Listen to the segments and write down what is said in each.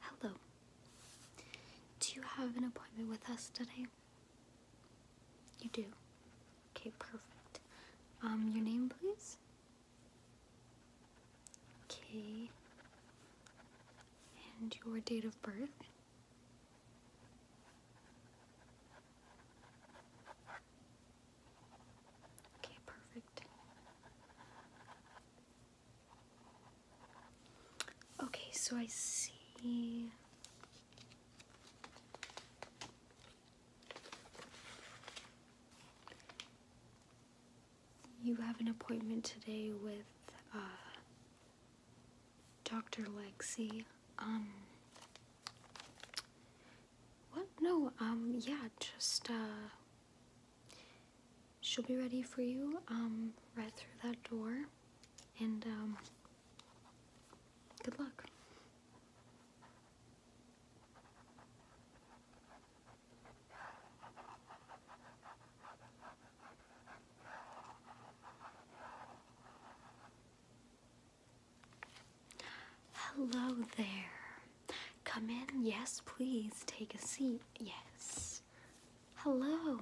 Hello. Do you have an appointment with us today? You do. Okay, perfect. Um, your name, please? Okay. And your date of birth? Okay, perfect. Okay, so I see. You have an appointment today with uh, Dr. Lexi. Um, what? No, um, yeah, just, uh, she'll be ready for you, um, right through that door. And, um, good luck. Hello there. Come in. Yes, please take a seat. Yes. Hello.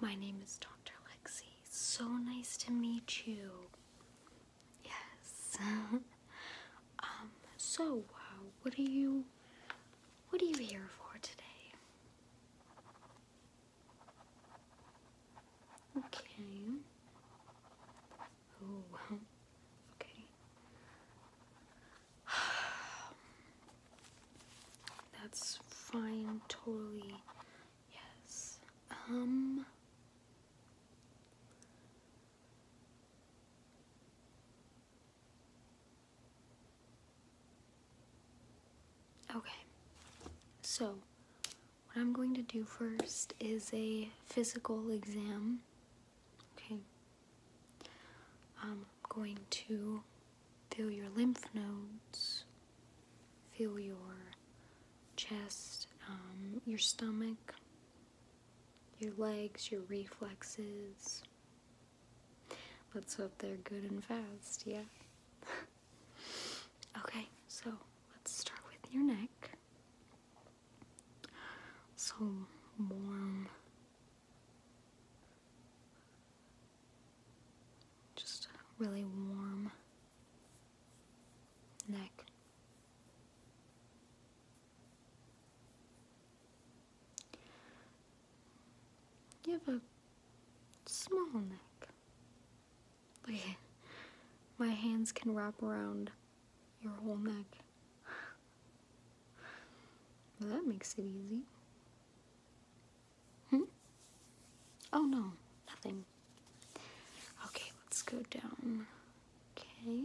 My name is Dr. Lexi. So nice to meet you. Yes. um so uh, what are you what are you here for today? Okay. Oh, Okay. That's fine, totally. Yes. Um. Okay. So, what I'm going to do first is a physical exam. Okay. I'm going to feel your lymph nodes, feel your chest, um, your stomach, your legs, your reflexes. Let's hope they're good and fast, yeah? Okay, so let's start with your neck. So warm. Just really warm neck. You have a small neck my hands can wrap around your whole neck. that makes it easy. Hmm? Oh no, nothing. Okay, let's go down. Okay.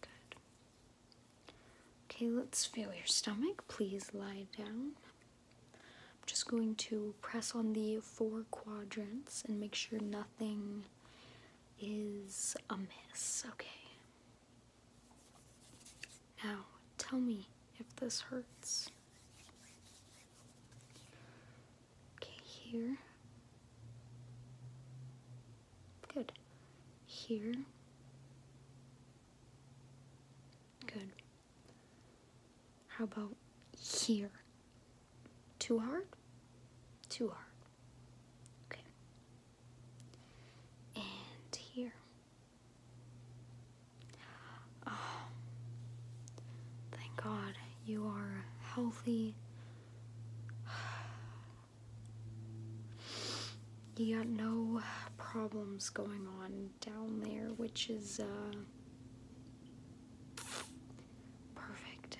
Good. Okay, let's feel your stomach. Please lie down. I'm just going to press on the four quadrants and make sure nothing is amiss. Okay. Now, tell me if this hurts. Okay, here. Good. Here. Good. How about here? Too hard? Too hard. Okay. And here. Oh, thank God you are healthy. you got no problems going on down there, which is uh, perfect.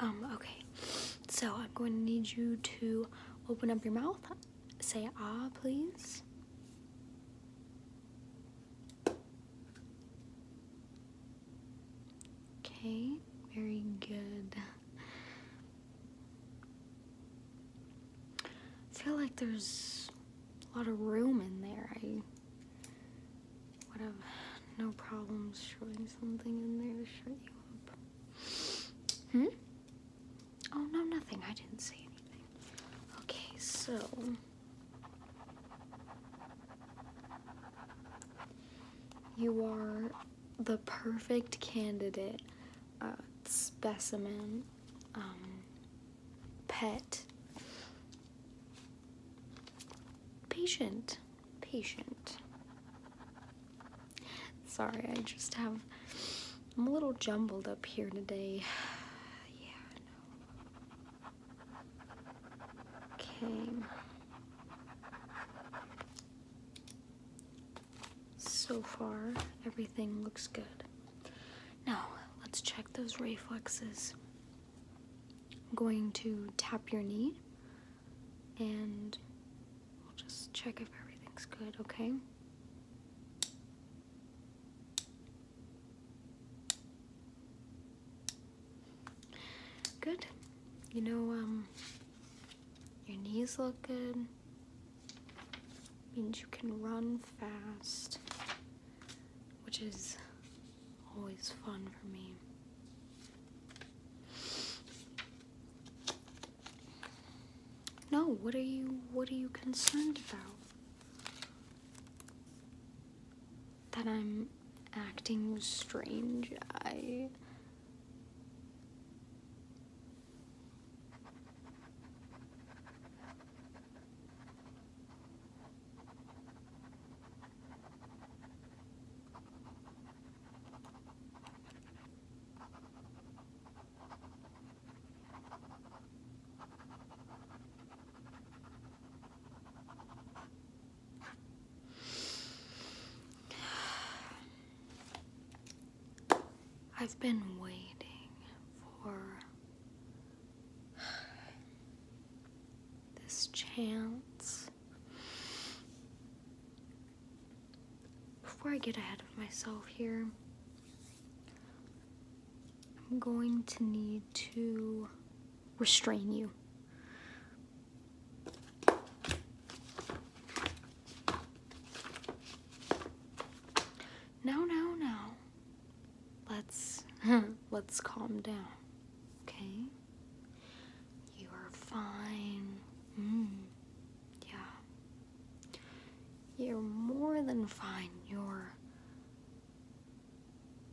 Um, okay, so I'm going to need you to open up your mouth, say ah, please. Okay, very good. I feel like there's a lot of room in there. I would have no problems showing something in there to shut you up. Hmm? Oh, no, nothing. I didn't say anything. Okay, so... You are the perfect candidate, uh, specimen, um, pet, patient, patient. Sorry, I just have, I'm a little jumbled up here today. yeah, Okay. So far, everything looks good. Now, let's check those reflexes. I'm going to tap your knee and we'll just check if everything's good, okay? Good. You know, um, your knees look good. Means you can run fast, which is always fun for me. No, what are you what are you concerned about? That I'm acting strange. I. I've been waiting for this chance. Before I get ahead of myself here, I'm going to need to restrain you. No, no, no. Let's let's calm down. Okay? You are fine. Mm-hmm. Yeah. You're more than fine. You're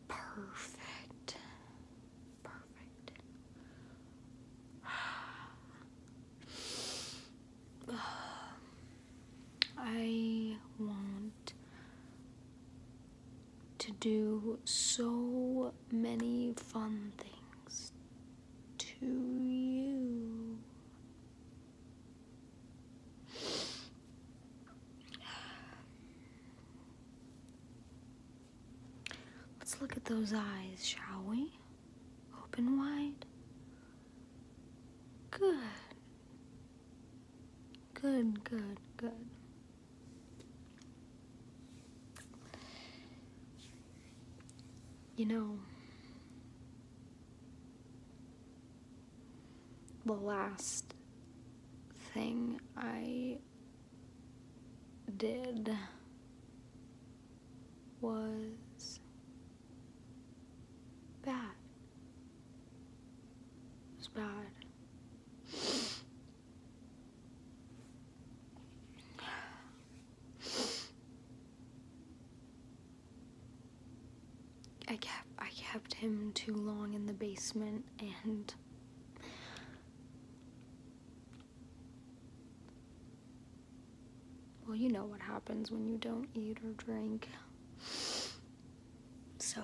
perfect. Perfect. I want to do so many fun things to you. Let's look at those eyes, shall we? Open wide. Good. Good, good, good. You know, the last thing I did was bad. It was bad. I kept I kept him too long in the basement and well, you know what happens when you don't eat or drink. So,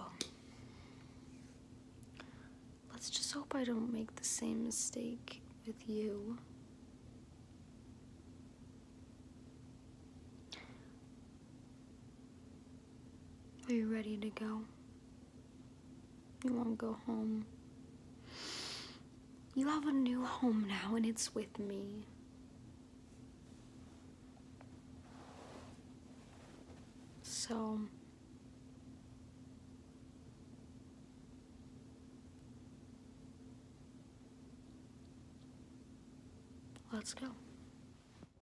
let's just hope I don't make the same mistake with you. Are you ready to go? You won't go home. You have a new home now, and it's with me. So. Let's go.